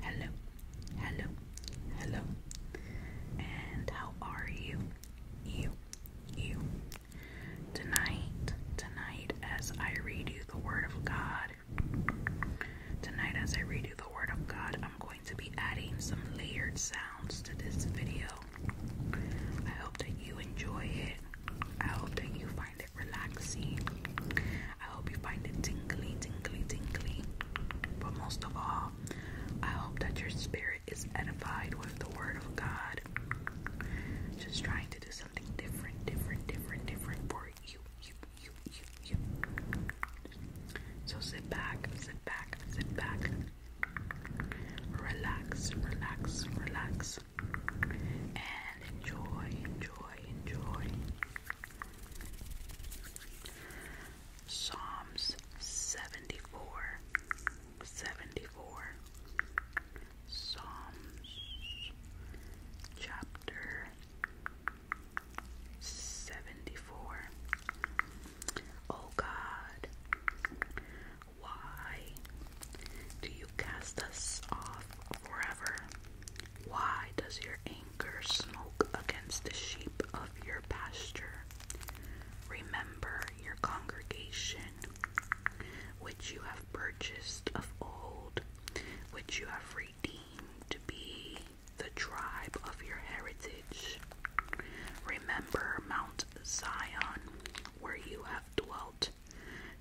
Hello, hello, hello. And how are you? You, you. Tonight, tonight, as I read you the Word of God, tonight, as I read you the Word of God, I'm going to be adding some layered sounds to this video. I hope that you enjoy it. I hope that you find it relaxing. I hope you find it tingly, tingly, tingly. But most of all, I hope that your spirit is edified with the Word of God. Just trying to do something different, different, different, different for you, you, you, you, you. So sit back, sit back, sit back. Relax, relax, relax, and enjoy, enjoy, enjoy. Psalms 74, Psalms chapter 74. Oh God, why do you cast us off forever? Why does your anger smoke against the sheep of your pasture? Remember your congregation, which you have purchased of old, which you have redeemed to be the tribe of your heritage. Remember Mount Zion, where you have dwelt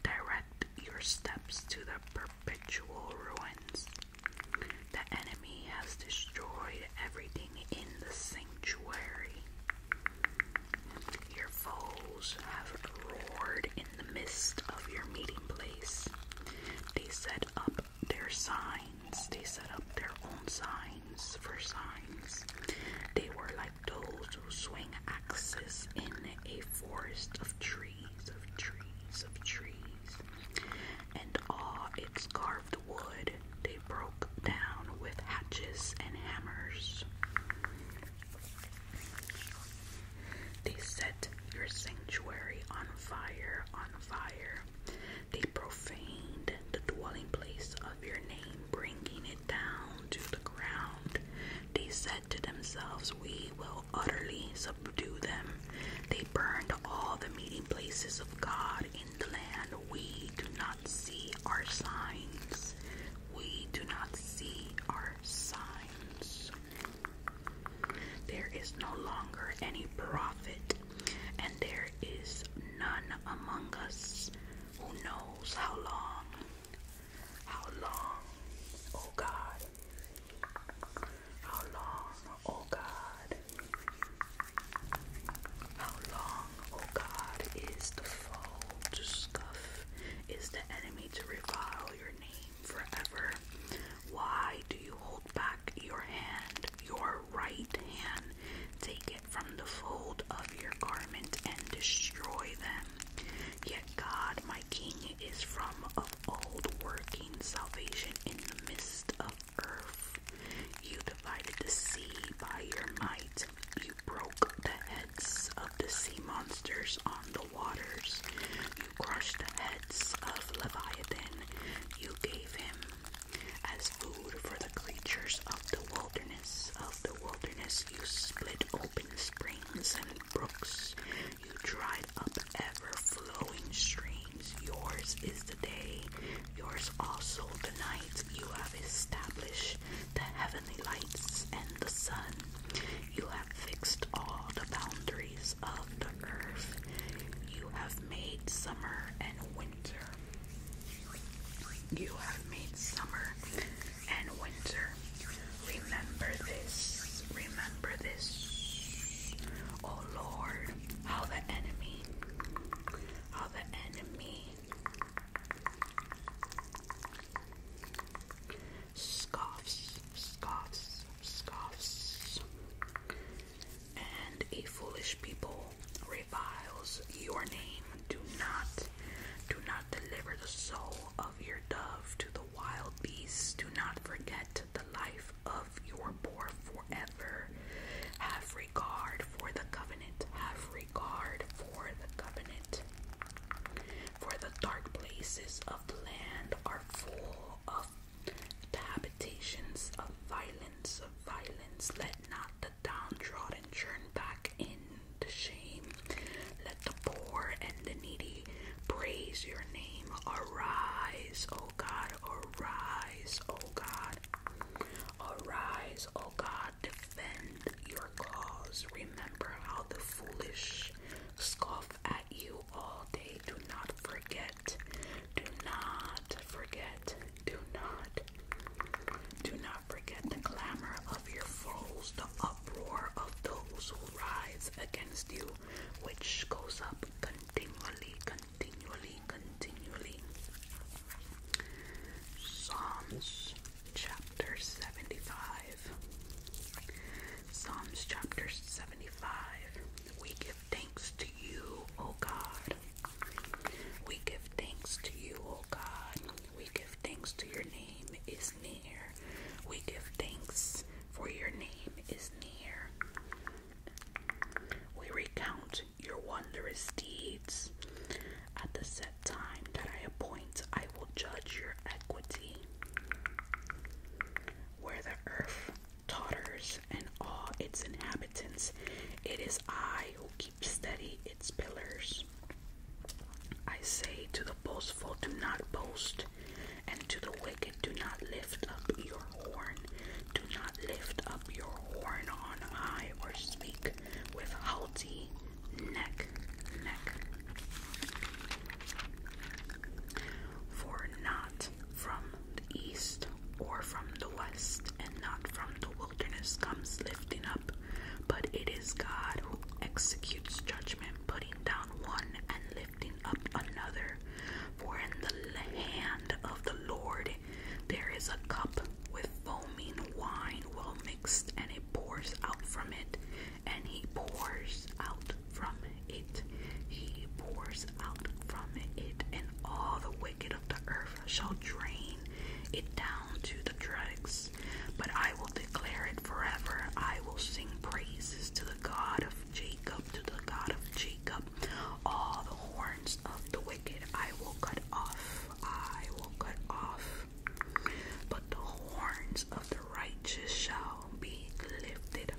Direct your steps to the perpetual ruins. The enemy has destroyed everything in the sanctuary. Your foes have roared in the midst of your meeting place. They set up their signs, they set up their own signs for signs. They were like those who swing axes in a forest of trees of trees, of trees, and ah, its carved wood they broke down with hatches and hammers. They set your sanctuary on fire, on fire. They profaned the dwelling place of your name, bringing it down to the ground. They said to themselves, We will utterly subdue them. They burned all the meeting places of God in the land. We do not see our signs. We do not see our signs. There is no longer any prophet, and there is none among us who knows how long how long, oh God? How long, oh God? How long, oh God, is the foe to scuff? Is the enemy to revile your name forever? Why do you hold back your hand, your right hand? Take it from the fold of your garment and destroy them. Yet God, King is from of old, working salvation in the midst of earth. You divided the sea by your might. You broke the heads of the sea monsters on the waters. You crushed the heads of Leviathan. You gave him as food for the creatures of the wilderness. Of the wilderness, you split open springs and brooks. Have you dried up ever flowing streams? Yours is the day, yours also the night. You have established the heavenly lights and the sun. You have fixed all the boundaries of the earth. You have made summer and winter. You have made summer and winter. Remember this, remember this. Oh Lord, how the enemy, how the enemy scoffs, scoffs, scoffs, and a foolish people reviles your name. Do not, do not deliver the soul of your dove to the wild beasts. Do not forget the life of your poor forever. Have regard for the covenant. Have regard for the covenant. For the dark places of the land are full of habitations of violence, of violence. Let not the downtrodden turn back in shame. Let the poor and the needy praise your name. Arise, O God, arise, O God. Arise, O God, defend your cause. Remember how the foolish scoff at you all day. Do not forget. Do not forget. Do not. Do not forget the clamor of your foes, the uproar of those who rise against you which goes up continually, continually, continually. Psalms chapter 75. Psalms chapter 75. We give thanks to you, O God. We give thanks to you, O God. We give thanks to your name is we give thanks, for your name is near. We recount your wondrous deeds. At the set time that I appoint, I will judge your equity. Where the earth totters and all its inhabitants, it is I who keep steady its pillars. I say to the boastful, Do not boast, and to the wicked, do not lift up your horn. Do not lift up your horn on high or speak with haughty neck, neck. For not from the east or from the west, and not from the wilderness comes lifting up, but it is God who executes judgment, putting down one and lifting up another. For in the hand of the Lord there is a cup with foaming wine well mixed, and it pours out from it, and he pours out from it. He pours out from it, and all the wicked of the earth shall drain it down to the dregs. But I will declare it forever. I will sing praises to the God of Jacob, to the God of Jacob. All the horns of the wicked I will cut off, I will cut off. But the horns of the righteous shall be lifted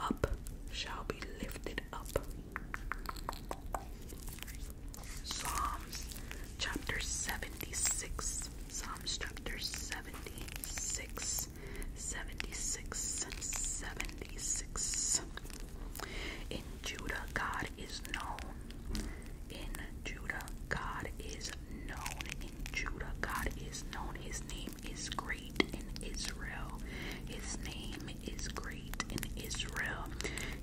up, shall be lifted up. Psalms chapter 76. Psalms chapter 76 cents, 76. In Judah, God is known. In Judah, God is known. In Judah, God is known. His name is great in Israel. His name is great in Israel.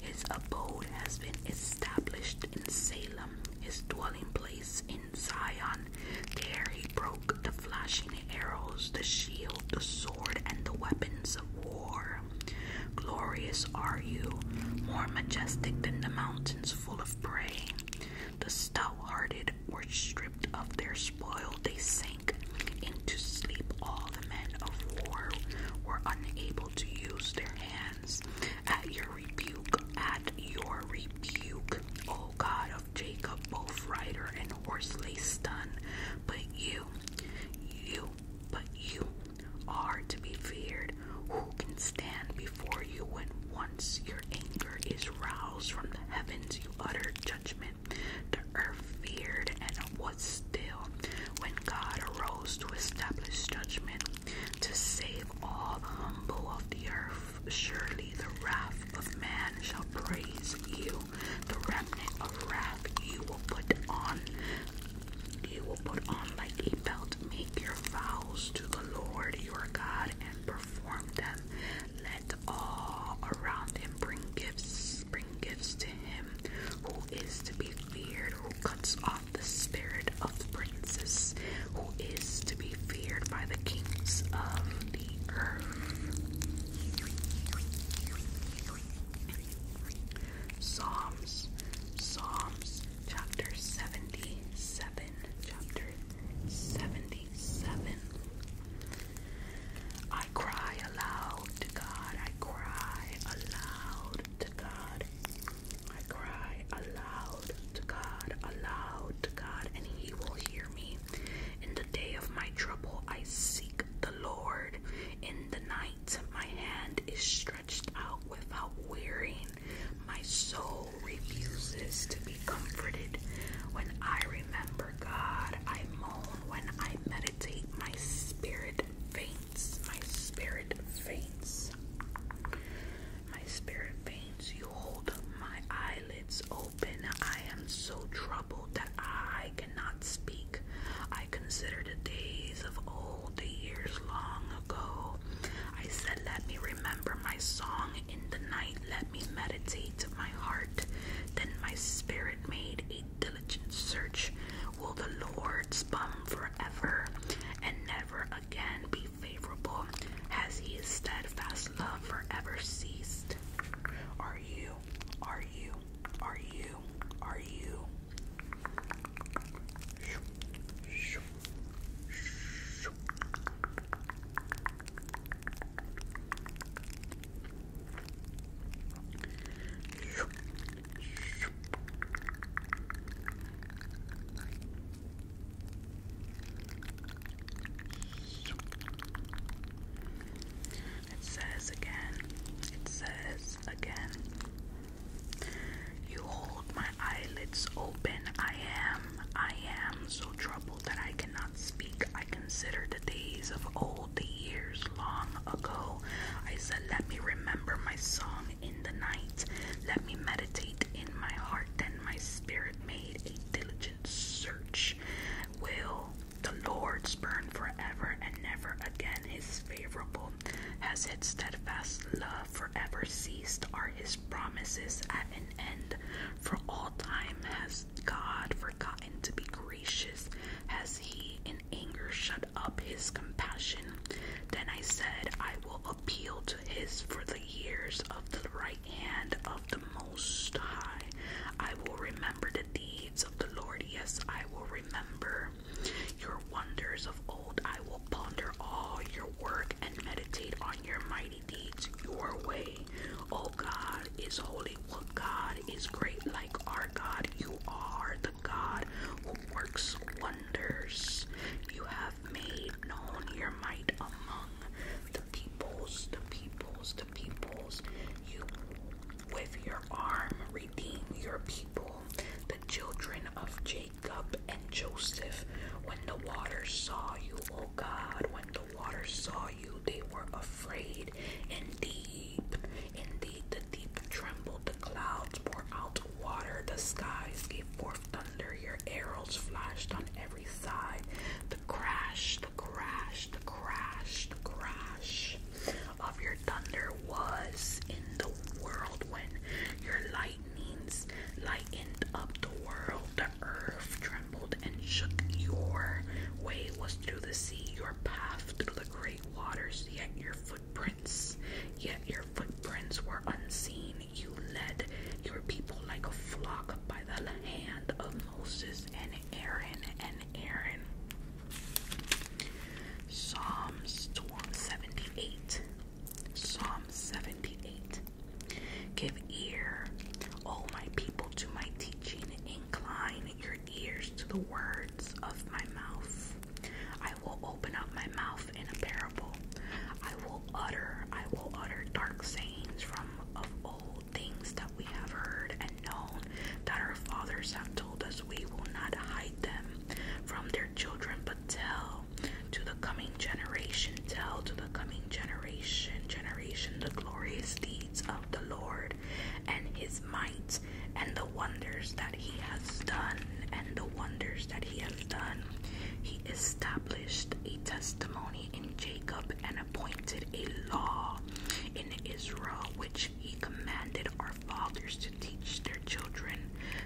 His abode has been established in Salem. His dwelling place in in Zion. There he broke the flashing arrows, the shield, the sword, and the weapons of war. Glorious are you, more majestic than the mountains full of prey. The stout hearted were stripped of their spoil, they sank into sleep. All the men of war were unable to use their hands. At your rebuke, at your rebuke, O God of. Jacob, both rider and horse lay stunned. But you, you, but you are to be feared. Who can stand before you when once your anger is roused from the heavens? You utter judgment. The earth feared and was still when God arose to establish judgment to save all the humble of the earth. Surely the wrath of man shall praise you. The remnant of wrath you will put on. You will put on like a belt. Make your vows to the Lord your God and perform them. Let all around him bring gifts. Bring gifts to him who is to be feared, who cuts off the spirit of princes who is to be feared by the kings of the earth. Psalms, Psalms chapter 77, chapter 77. I cry aloud to God, I cry aloud to God, I cry aloud to God, aloud to God, and He will hear me. In the day of my trouble, I seek the Lord. In the night, my hand is stretched out without wearying. My soul refuses to be comforted. When I remember God, I moan. When I meditate, my spirit faints. My spirit faints. My spirit faints. You hold my eyes eyelids open. I am so troubled that I cannot speak. I consider the days of old, the years long ago. I said, Let me remember my song in the night, let me meditate my heart. Then my spirit made a diligent search. Will the Lord's bum forever and never again be favorable, has his steadfast love forever ceased? Are you, are you, are you, are you? It says again, it says again, you hold my eyelids open. I am, I am so troubled that I cannot speak. I consider the days of old, the years long ago. I said, let me remember my song in the night. Let me meditate in my heart. Then my spirit made a diligent search will the Lord spurn forever and never again his favorable. Has his steadfast love forever ceased? Are his promises at an end? For all time has God forgotten to be gracious? Has he in anger shut up his compassion? Then I said, I will appeal to to his for the years of the right hand of the Most High. I will remember the deeds of the Lord. Yes, I will remember your wonders of old. I will ponder all your work and meditate on your mighty deeds, your way. O oh God is holy. What God is great like our God? You are the God who works wonders. You have made known your mighty among the peoples, the peoples, the peoples. You, with your arm, redeem your people, the children of Jacob and Joseph. When the waters saw you, O God, when the waters saw you, they were afraid. And deep, and deep, the deep trembled, the clouds poured out water, the skies gave forth thunder, your arrows flashed on every the crash, the crash, the crash, the crash of your thunder was in the world when your lightnings lightened up the world. The earth trembled and shook. Your way was through the sea, your path through the great waters, yet your footprints, yet your footprints were unseen you led your people like a flock by the hand of Moses and Aaron and Aaron. Psalms two seventy-eight. Psalm 78. Give ear, O my people, to my teaching. Incline your ears to the words of my mouth. I will open up my mouth in a parable. I will utter, I will utter dark sayings from of old things that we have heard and known that our fathers have told us, we will not hide them from their children, but tell to the coming generation, tell to the coming generation, generation the glorious deeds of the Lord and his might and the wonders that he has done, and the wonders that he has done. He established a testimony in Jacob and appointed a law in Israel which he commanded our fathers to teach their children.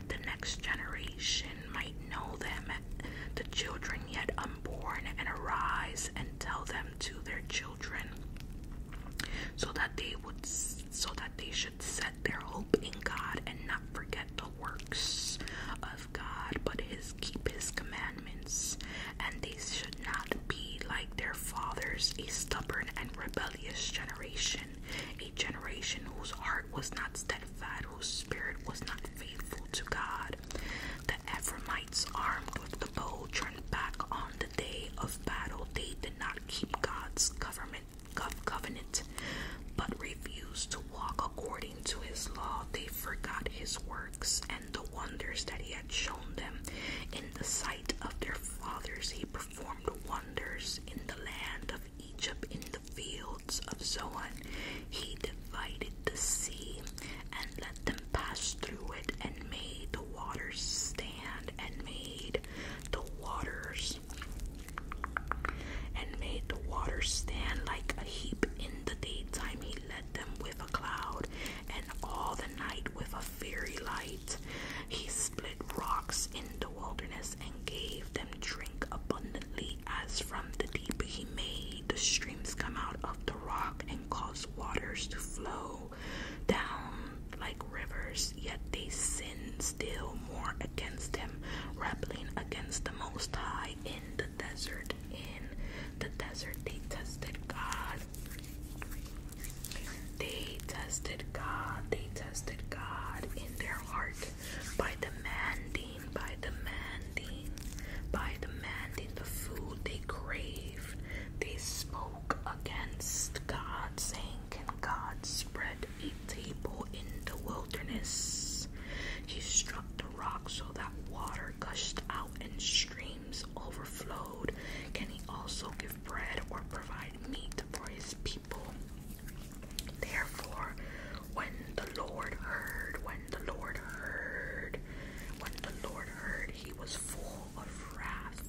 The next generation might know them, the children yet unborn, and arise and tell them to their children, so that they would so that they should set their hope in God and not forget the works uh, God, but his keep his commandments, and they should not be like their fathers, a stubborn and rebellious generation, a generation whose heart was not steadfast, whose spirit was not faithful to God. The Ephraimites, armed with the bow, turned back on the day of battle. They did not keep God's covenant, but refused to walk according according to his law, they forgot his works and the wonders that he had shown them. In the sight of their fathers, he performed wonders in the land of Egypt, in the fields of Zoan. He divided the sea and let them pass through it, and made the waters stand, and made the waters and made the waters stand like a heap in the daytime. He led them with a cloud, and all the night with a fiery light. He split rocks in the wilderness and gave them drink abundantly, as from the deep he made the streams come out of the rock and cause waters to flow down like rivers. Yet they sinned still more against him, rebelling against the Most High in the desert. In the desert, they tested God. They tested God. They tested God in their heart by demanding, by demanding, by demanding the food they craved. They spoke against God, saying, Can God spread a table in the wilderness? He struck the rock so that water gushed out and streams overflowed, can he also give bread or provide meat for his people? Therefore, when the Lord heard, when the Lord heard, when the Lord heard, he was full of wrath.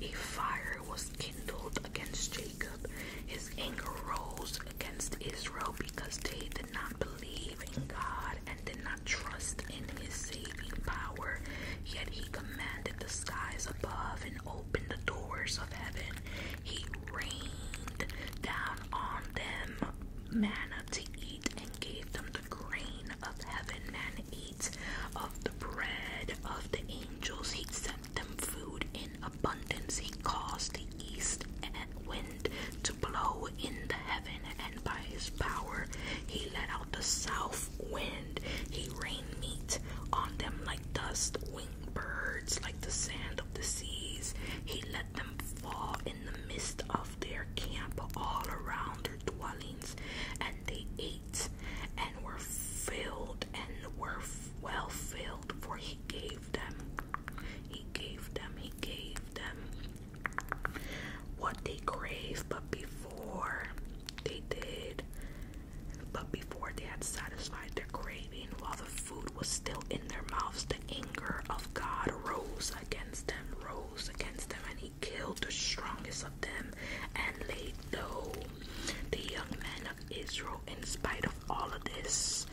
A fire was kindled against Jacob, his anger rose against Israel because they did not believe believe in God and did not trust in his saving power, yet he commanded the skies above and opened the doors of heaven. He rained down on them manna to eat and gave them the grain of heaven. Man eats of the bread of the angels. He sent them food in abundance. He caused the east and west to blow in the heaven, and by his power he let out the south wind. He rained meat on them like dust, winged birds like the sand of the seas. He let them fall in the midst of their camp all around their dwellings, and they ate and were filled and were well filled, for he gave gave them, he gave them, he gave them what they craved, but before they did, but before they had satisfied their craving, while the food was still in their mouths, the anger of God rose against them, rose against them, and he killed the strongest of them and laid low the young men of Israel in spite of all of this.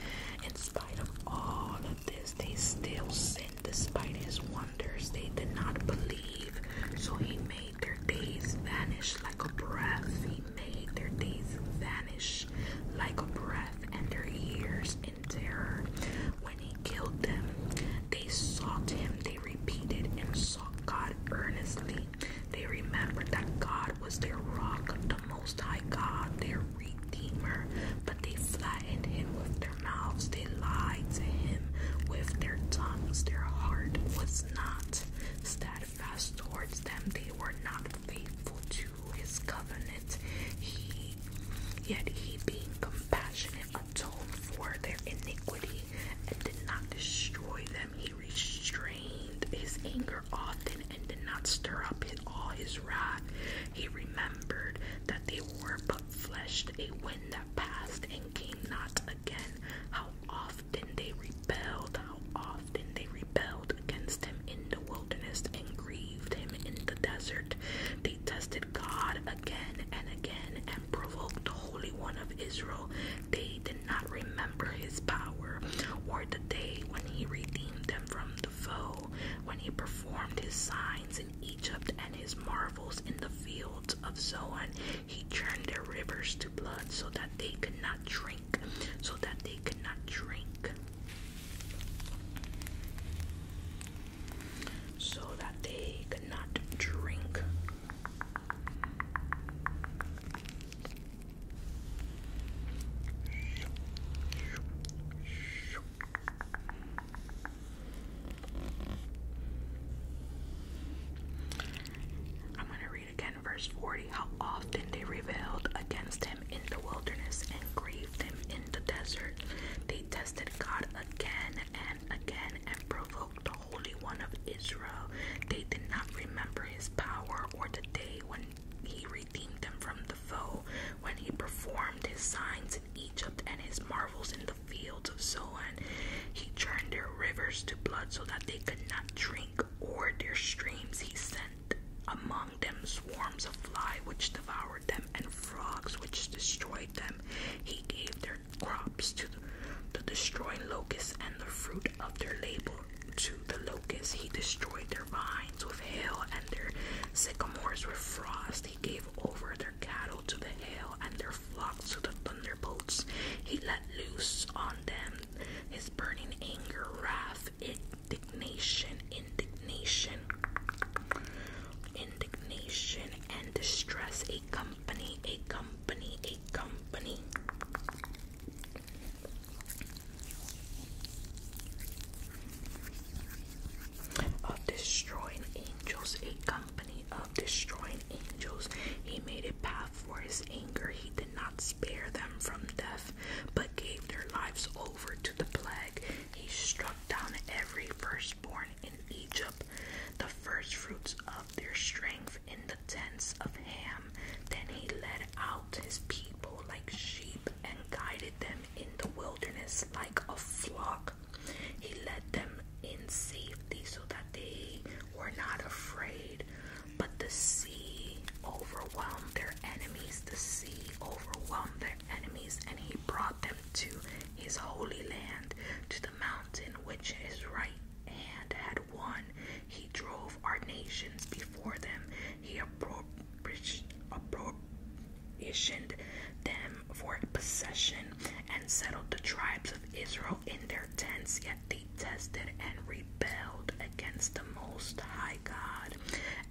In spite of all of this, they still sin. despite his wonders. They did not believe, so he made their days vanish like a breath. He made their days vanish like a breath, and their years in terror. When he killed them, they sought him. They repeated and sought God earnestly. They remembered that God was their rock, the most High God, their Redeemer, but they flattened him with their mouths, they lied to him with their tongues, their heart was not steadfast towards them, they were not faithful to his covenant. yet he being compassionate atoned for their iniquity and did not destroy them. He restrained his anger often and did not stir up all his wrath. He remembered that they were but flesh, a wind that passed and came not again. How often they rebelled, how often they rebelled against him in the wilderness and grieved him in the desert. They tested God again and again and provoked the Holy One of Israel. They did not remember his power or the day when he redeemed them from the foe when he performed his signs in Egypt and his marvels in the fields of Zoan. He turned their rivers to blood so that they could not drink, so that they could not drink. So that they could not drink. I'm going to read again verse 40 how often they rebelled against him in the wilderness and grieved him in the desert. They tested God again and again and provoked the Holy One of Israel. They did not remember his power or the day when he redeemed them from the foe when he performed his signs in Egypt and his marvels in the fields of Zoan. He turned their rivers to blood so that they could not drink, or their streams he sent among them swarms of flies which devoured them and frogs which destroyed them. He gave their crops to the destroying locusts and the fruit of their labor to the locusts. He destroyed their vines hail, and their sycamores were frost. He gave over their cattle to the hail, and their flocks to the thunderbolts. He let loose on them his burning anger, wrath, indignation, indignation, indignation, and distress. A company, a company, a company of destroying angels, a company of destroying angels. He made a path for his anger. He did not spare them from death, but gave their lives over to the plague. He struck down every firstborn in Egypt, the firstfruits of their strength in the tents of Ham. Then he led out his people like sheep and guided them in the wilderness like a flock. He led them in safety so that they were not afraid. But the sea overwhelmed their enemies. The sea overwhelmed their enemies, and he brought them to his holy land, to the mountain which his right hand had won. He drove our nations before them. He appro issued them for possession and settled the tribes of Israel in their tents, yet they tested and rebelled against the Most High God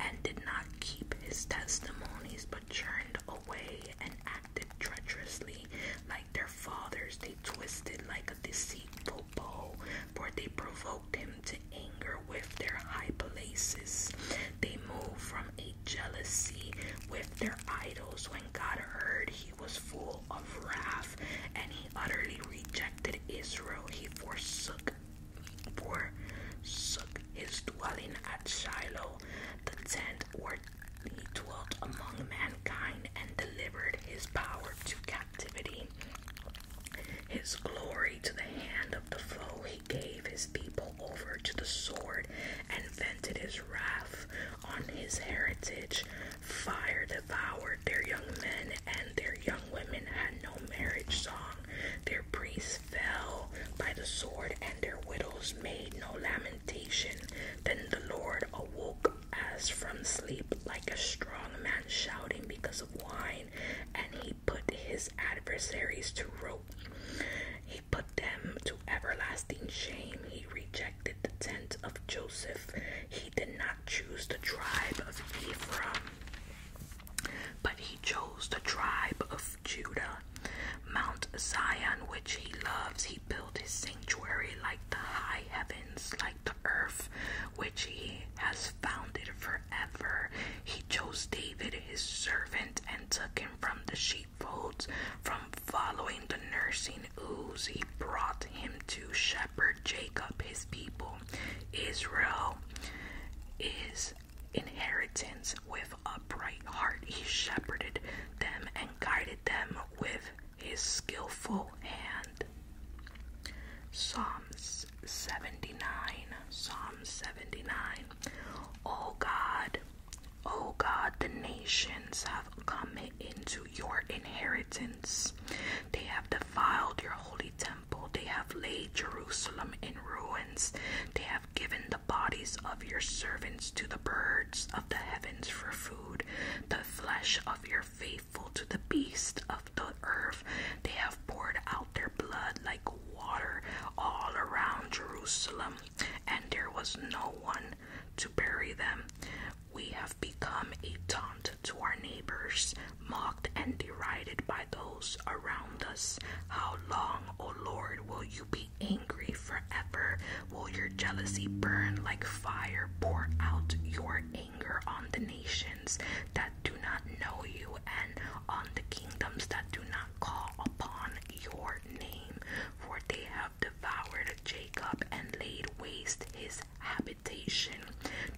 and did not keep his testimonies but turned away and acted treacherously like their fathers. They twisted like a deceitful bow, for they provoked him to anger with their high places. They moved from a jealousy with their idols. When God heard, he was full of wrath and he utterly rejected Israel. He forsook, forsook his dwelling at Shiloh, the tent where he dwelt among mankind and delivered his power to captivity. His glory to the hand of the foe he gave his people over to the sword and vented his wrath on his heritage. Fire devoured their young men, and their young women had no marriage song. Their priests fell by the sword, and their widows made no lamentation. Then the Lord awoke as from sleep, like a strong man shouting because of wine, and he put his adversaries to rope. He put them to everlasting shame. He rejected the tent of Joseph. He did not choose the tribe of Ephraim, but he chose the tribe of Judah. Mount Zion, which he loves, he built his sanctuary like the high heavens, like the earth, which he has founded forever. He chose David, his servant, and took him from the sheepfolds, from following the nursing ooze. He brought him to shepherd Jacob, his people. Israel is inheritance with a bright heart. He shepherded them and guided them with his skillful hand. Psalms 79. Psalm 79. Oh God, oh God, the nations have come into your inheritance. They have defiled your holy temple. They have laid Jerusalem in ruins. They have given the bodies of your servants to the birds of the heavens for food, the flesh of your faithful to the beasts of the earth. They have poured out their blood like water all around Jerusalem, and there was no one to bury them. We have become a taunt to our neighbors, mocked and derided by those around us. How long, O Lord, will you be angry forever? Will your jealousy burn like fire? Pour out your anger on the nations that do not know you and on the kingdoms that do not call upon your name, for they have devoured Jacob and laid waste his habitation.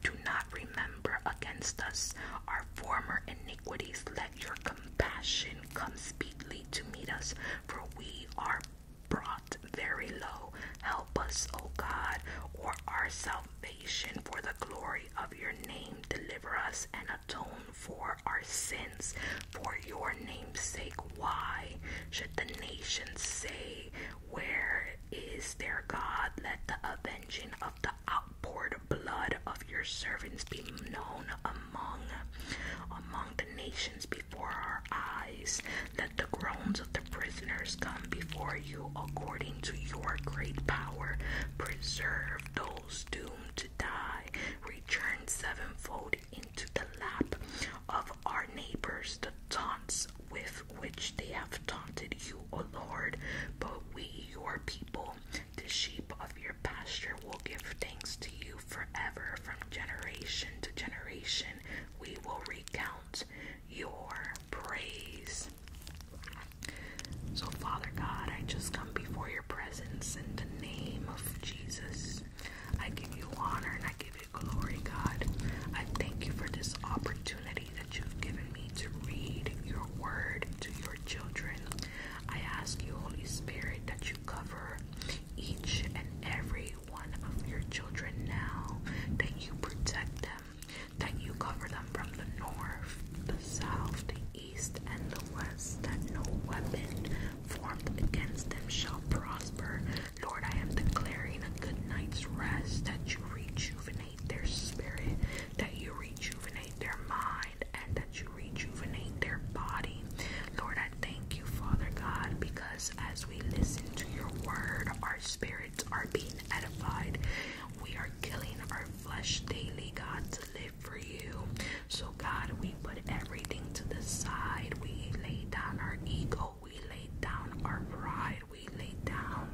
Do not remember against us our former iniquities. Let your compassion come speedily to meet us, for we are brought very low. Help us, O God, for our salvation for the glory of your name. Deliver us and atone for our sins, for your name's sake. Why should the nations say, Where is their God? Let the avenging of the outpoured blood of your servants be known among among the nations before our eyes. Let the groans of the prisoners come before you according to your great power. Preserve those souls doomed to die return sevenfold into the lap of our neighbors the taunts with which they have taunted you, O Lord. But we, your people, the sheep of your pasture, will give thanks to you forever from generation to generation. We will recount your praise. So, Father God, I just come before your presence in the name of Jesus. I give you honor and I give you glory, God. I thank you for this opportunity that you've given me to read your word to your children. I ask you, Holy Spirit, that you cover each and every one of your children now, that you protect them, that you cover them from the north, the south, the east and the west, that no weapon formed against them shall prosper. Lord, I am declaring a good night's rest, that you rejuvenate their spirit, that you rejuvenate their mind, and that you rejuvenate their body. Lord, I thank you, Father God, because as we listen to your word, our spirits are being edified. We are killing our flesh daily, God, to for you. So, God, we put everything to the side. We lay down our ego. We lay down our pride. We lay down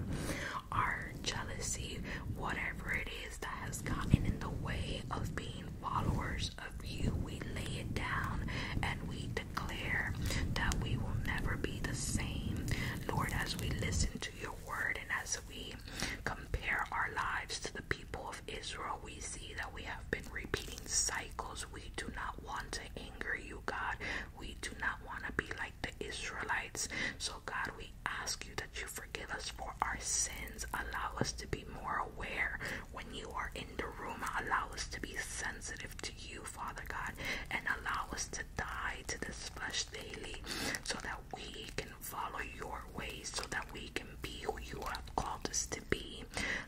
our jealousy. Whatever it is that has gotten in the way of being followers of you, we lay it down and we declare that we will never be the same. Lord, as we listen to your word and as we compare our lives to the people of Israel, we see that we have been repeating cycles. We do not want to anger you, God. We do not want to be like the Israelites. So, God, we ask you that you forgive us for our sins. Allow us to be more aware when you are in the room. Allow us to be sensitive to you, Father God, and allow us to die to this flesh daily so that we can follow your ways so that we can be who you have called us to be.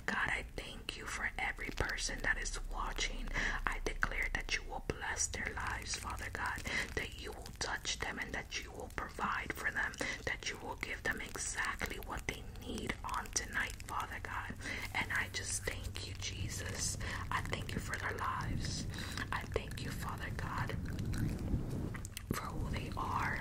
God, I thank you for every person that is watching. I declare that you will bless their lives, Father God, that you will touch them and that you will provide for them, that you will give them exactly what they need on tonight, Father God. And I just thank you, Jesus. I thank you for their lives. I thank you, Father God for who they are.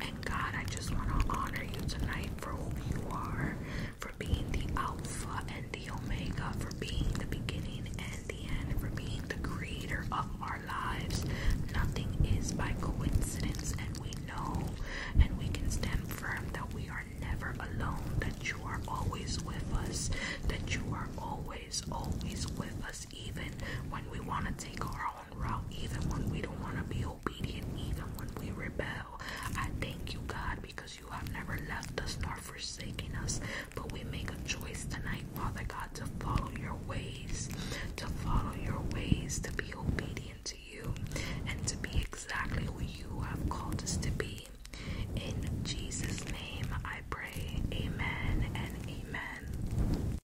And God, I just want to honor you tonight for who you are, for being the Alpha and the Omega, for being the beginning and the end, for being the creator of our lives. Nothing is by coincidence, and we know and we can stand firm that we are never alone, that you are always with us, that you are always, always with us, even when we want to take our own even when we don't want to be obedient, even when we rebel. I thank you, God, because you have never left us nor forsaken us. But we make a choice tonight, Father God, to follow your ways, to follow your ways, to be obedient to you, and to be exactly who you have called us to be. In Jesus' name I pray. Amen and amen.